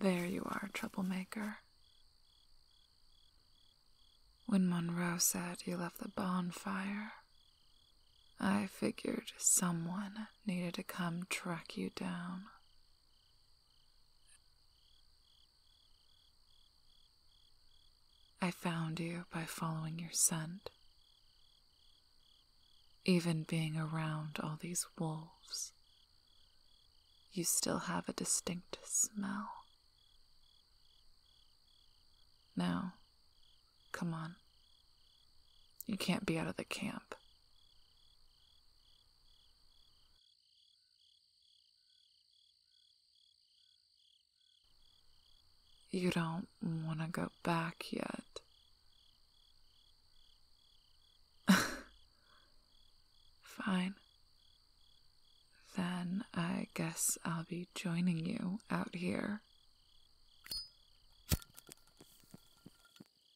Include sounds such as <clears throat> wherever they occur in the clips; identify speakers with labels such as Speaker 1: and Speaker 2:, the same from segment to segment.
Speaker 1: There you are, troublemaker. When Monroe said you left the bonfire, I figured someone needed to come track you down. I found you by following your scent. Even being around all these wolves, you still have a distinct smell. Now, come on. You can't be out of the camp. You don't want to go back yet. <laughs> Fine. Then I guess I'll be joining you out here.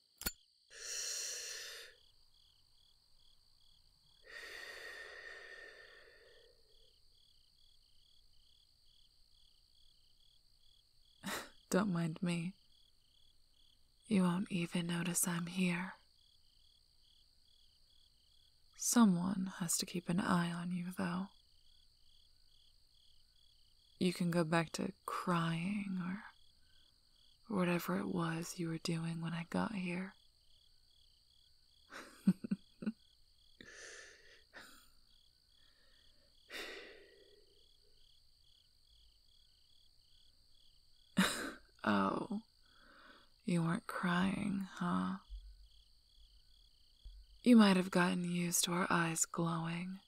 Speaker 1: <sighs> Don't mind me. You won't even notice I'm here. Someone has to keep an eye on you, though. You can go back to crying or whatever it was you were doing when I got here. <laughs> oh, you weren't crying, huh? You might have gotten used to our eyes glowing.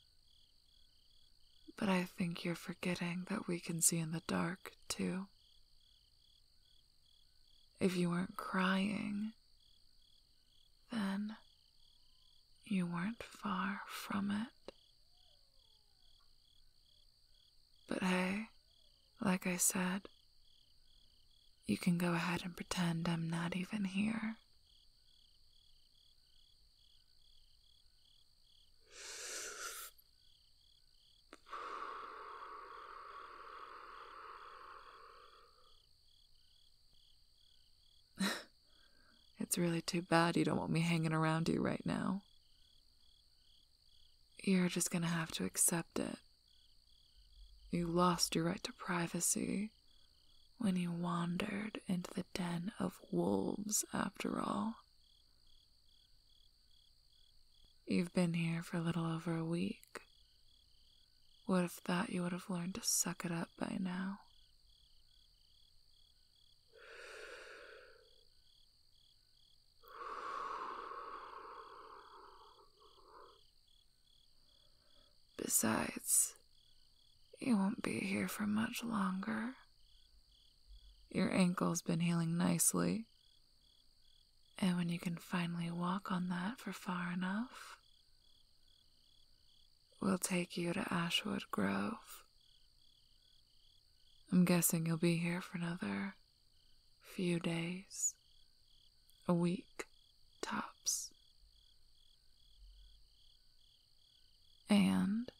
Speaker 1: But I think you're forgetting that we can see in the dark, too. If you weren't crying, then you weren't far from it. But hey, like I said, you can go ahead and pretend I'm not even here. <sighs> it's really too bad you don't want me hanging around you right now. You're just gonna have to accept it. You lost your right to privacy when you wandered into the den of wolves, after all. You've been here for a little over a week. Would have thought you would have learned to suck it up by now. Besides, you won't be here for much longer. Your ankle's been healing nicely. And when you can finally walk on that for far enough, we'll take you to Ashwood Grove. I'm guessing you'll be here for another few days, a week tops. And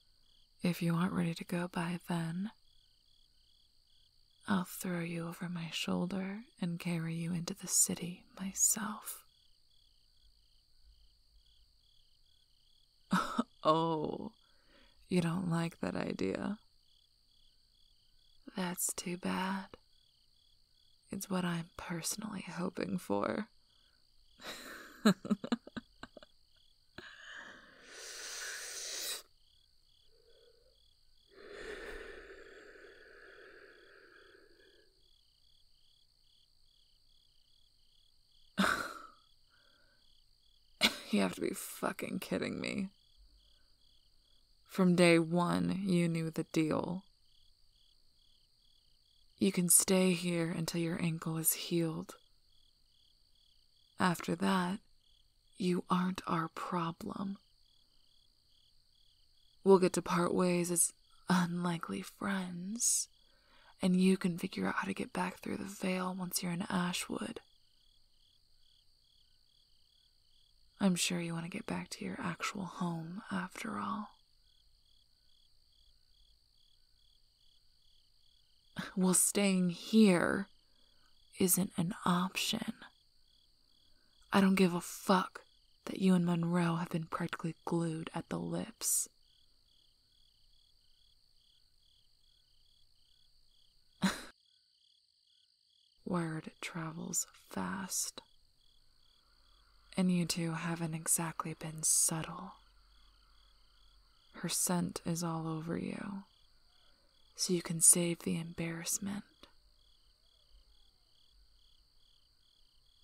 Speaker 1: if you aren't ready to go by then, I'll throw you over my shoulder and carry you into the city myself. <laughs> oh, you don't like that idea. That's too bad. It's what I'm personally hoping for. <laughs> <laughs> you have to be fucking kidding me. From day one, you knew the deal. You can stay here until your ankle is healed, after that, you aren't our problem. We'll get to part ways as unlikely friends, and you can figure out how to get back through the veil once you're in Ashwood. I'm sure you want to get back to your actual home after all. Well, staying here isn't an option. I don't give a fuck that you and Monroe have been practically glued at the lips. <laughs> Word travels fast. And you two haven't exactly been subtle. Her scent is all over you, so you can save the embarrassment.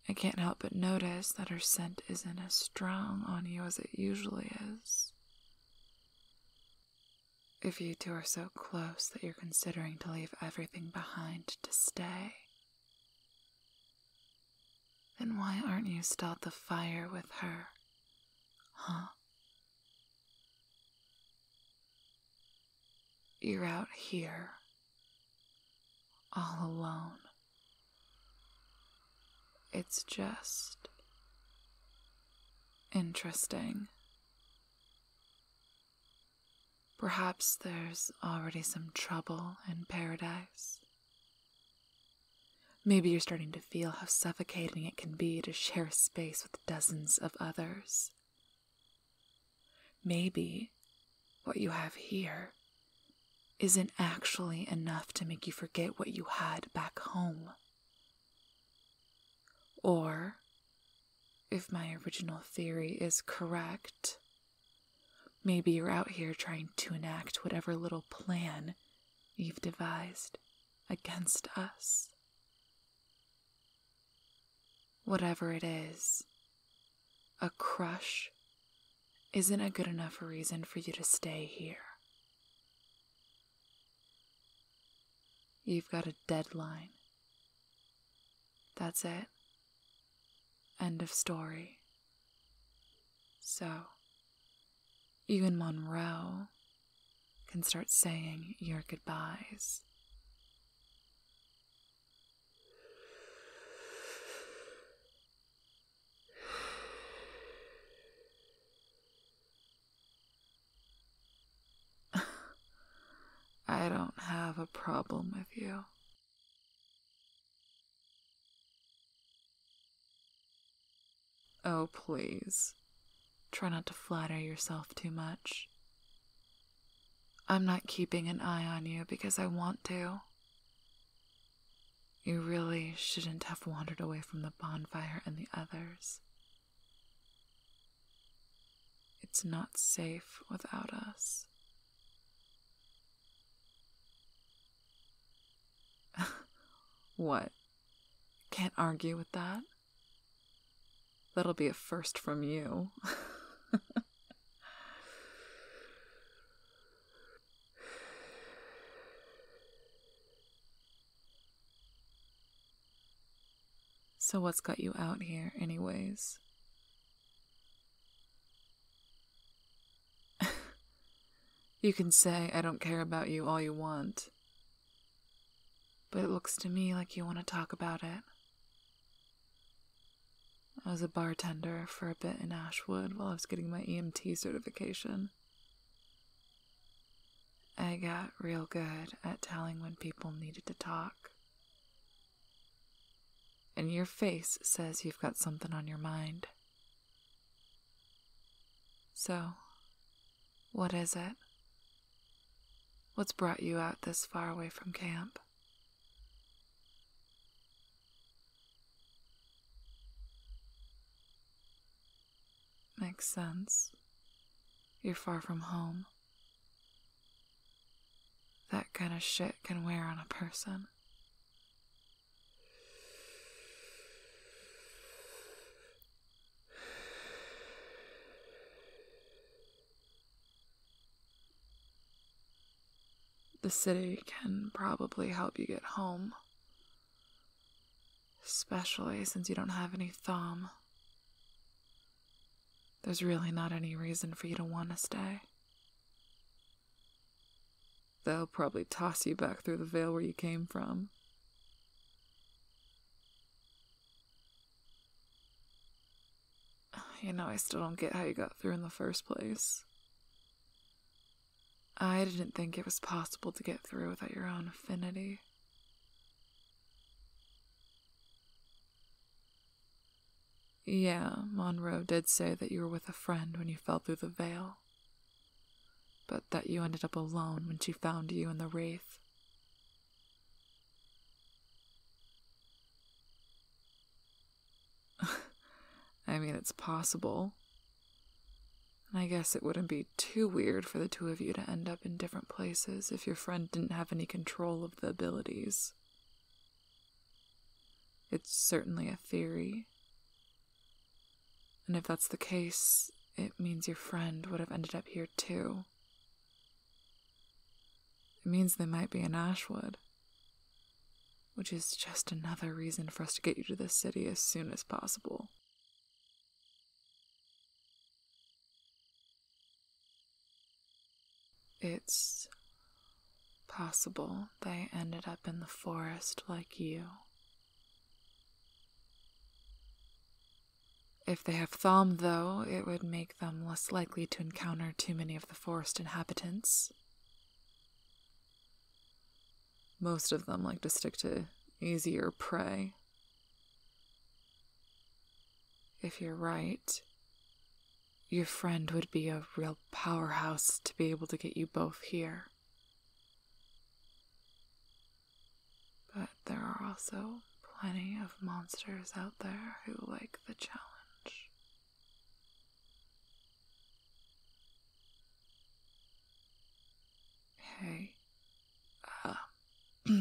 Speaker 1: I can't help but notice that her scent isn't as strong on you as it usually is. If you two are so close that you're considering to leave everything behind to stay, then why aren't you still at the fire with her? Huh? You're out here, all alone. It's just interesting. Perhaps there's already some trouble in paradise. Maybe you're starting to feel how suffocating it can be to share space with dozens of others. Maybe what you have here isn't actually enough to make you forget what you had back home. Or, if my original theory is correct, Maybe you're out here trying to enact whatever little plan you've devised against us. Whatever it is, a crush isn't a good enough reason for you to stay here. You've got a deadline. That's it. End of story. So, you and Monroe can start saying your goodbyes. <sighs> I don't have a problem with you. Oh, please. Try not to flatter yourself too much. I'm not keeping an eye on you because I want to. You really shouldn't have wandered away from the bonfire and the others. It's not safe without us. <laughs> what? Can't argue with that? That'll be a first from you. <laughs> so, what's got you out here, anyways? <laughs> you can say I don't care about you all you want, but it looks to me like you want to talk about it. I was a bartender for a bit in Ashwood while I was getting my EMT certification. I got real good at telling when people needed to talk. And your face says you've got something on your mind. So, what is it? What's brought you out this far away from camp? Makes sense. You're far from home. That kind of shit can wear on a person. The city can probably help you get home. Especially since you don't have any thumb. There's really not any reason for you to want to stay. They'll probably toss you back through the veil where you came from. You know, I still don't get how you got through in the first place. I didn't think it was possible to get through without your own affinity. Yeah, Monroe did say that you were with a friend when you fell through the veil, but that you ended up alone when she found you in the wraith. <laughs> I mean, it's possible. I guess it wouldn't be too weird for the two of you to end up in different places if your friend didn't have any control of the abilities. It's certainly a theory. And if that's the case, it means your friend would have ended up here too. It means they might be in Ashwood, which is just another reason for us to get you to the city as soon as possible. It's possible they ended up in the forest like you. If they have Thalm, though, it would make them less likely to encounter too many of the forest inhabitants. Most of them like to stick to easier prey. If you're right, your friend would be a real powerhouse to be able to get you both here. But there are also plenty of monsters out there who like the challenge. Hey, uh, <clears throat>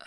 Speaker 1: uh,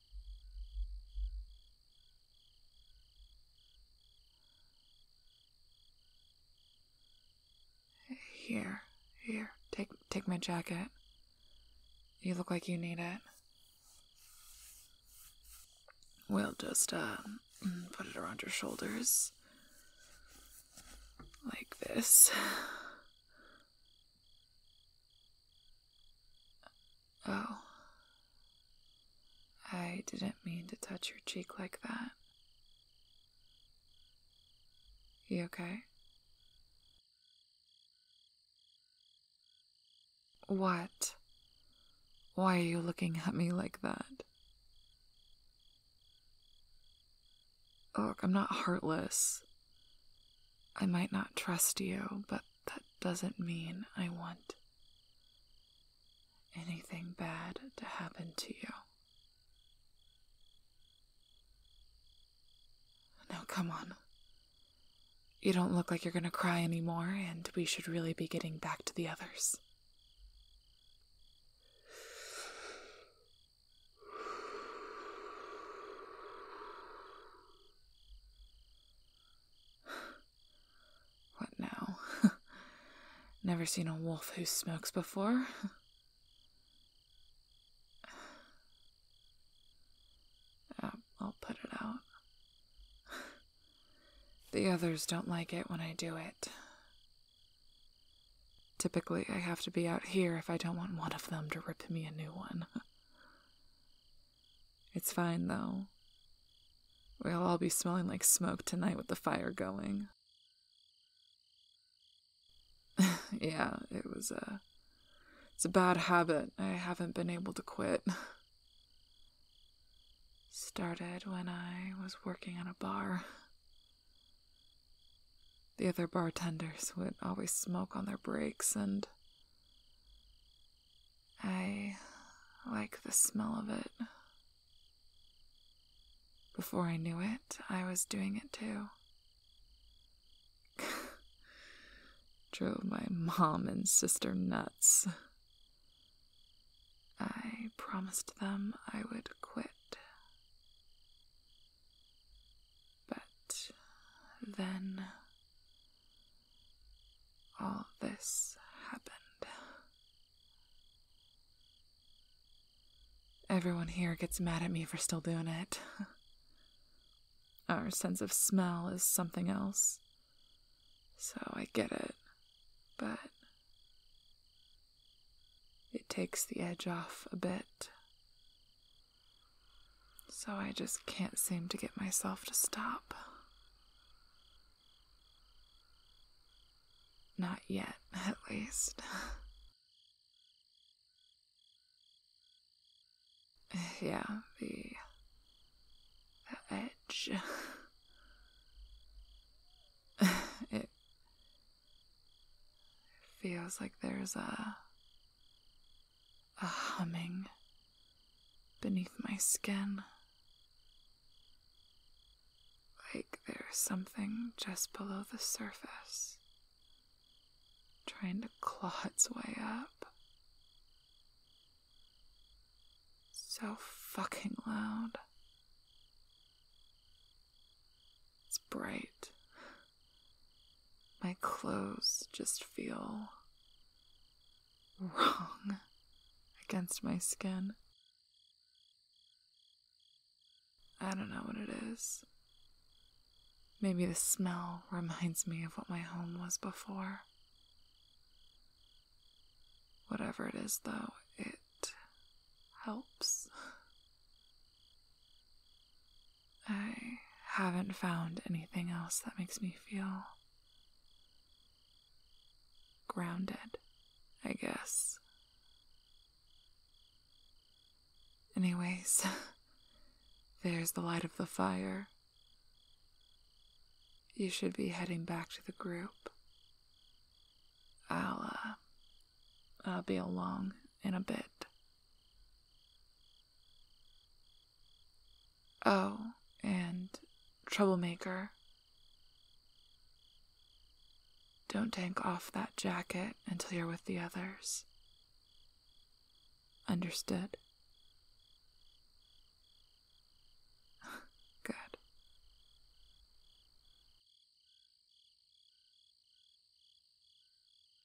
Speaker 1: Here, here, take take my jacket. You look like you need it. We'll just um, put it around your shoulders. Like this. Oh. I didn't mean to touch your cheek like that. You okay? What? Why are you looking at me like that? Look, I'm not heartless. I might not trust you, but that doesn't mean I want anything bad to happen to you. Now, come on. You don't look like you're gonna cry anymore, and we should really be getting back to the others. What now? <laughs> Never seen a wolf who smokes before. <laughs> I'll put it out. <laughs> the others don't like it when I do it. Typically, I have to be out here if I don't want one of them to rip me a new one. It's fine, though. We'll all be smelling like smoke tonight with the fire going. <laughs> yeah, it was a. It's a bad habit I haven't been able to quit. <laughs> Started when I was working at a bar. The other bartenders would always smoke on their breaks, and I like the smell of it. Before I knew it, I was doing it too. <laughs> Drove my mom and sister nuts. I promised them I would quit. But then all this happened. Everyone here gets mad at me for still doing it. Our sense of smell is something else. So I get it. But it takes the edge off a bit. So I just can't seem to get myself to stop. Not yet, <laughs> at least. <laughs> yeah, the, edge. <laughs> it feels like there's a a humming beneath my skin. Like there's something just below the surface, trying to claw its way up. So fucking loud. It's bright my clothes just feel wrong against my skin. I don't know what it is. Maybe the smell reminds me of what my home was before. Whatever it is, though, it helps. I haven't found anything else that makes me feel grounded, I guess. Anyways, <laughs> there's the light of the fire. You should be heading back to the group. I'll, uh, I'll be along in a bit. Oh, and Troublemaker. Don't take off that jacket until you're with the others. Understood? <laughs> Good.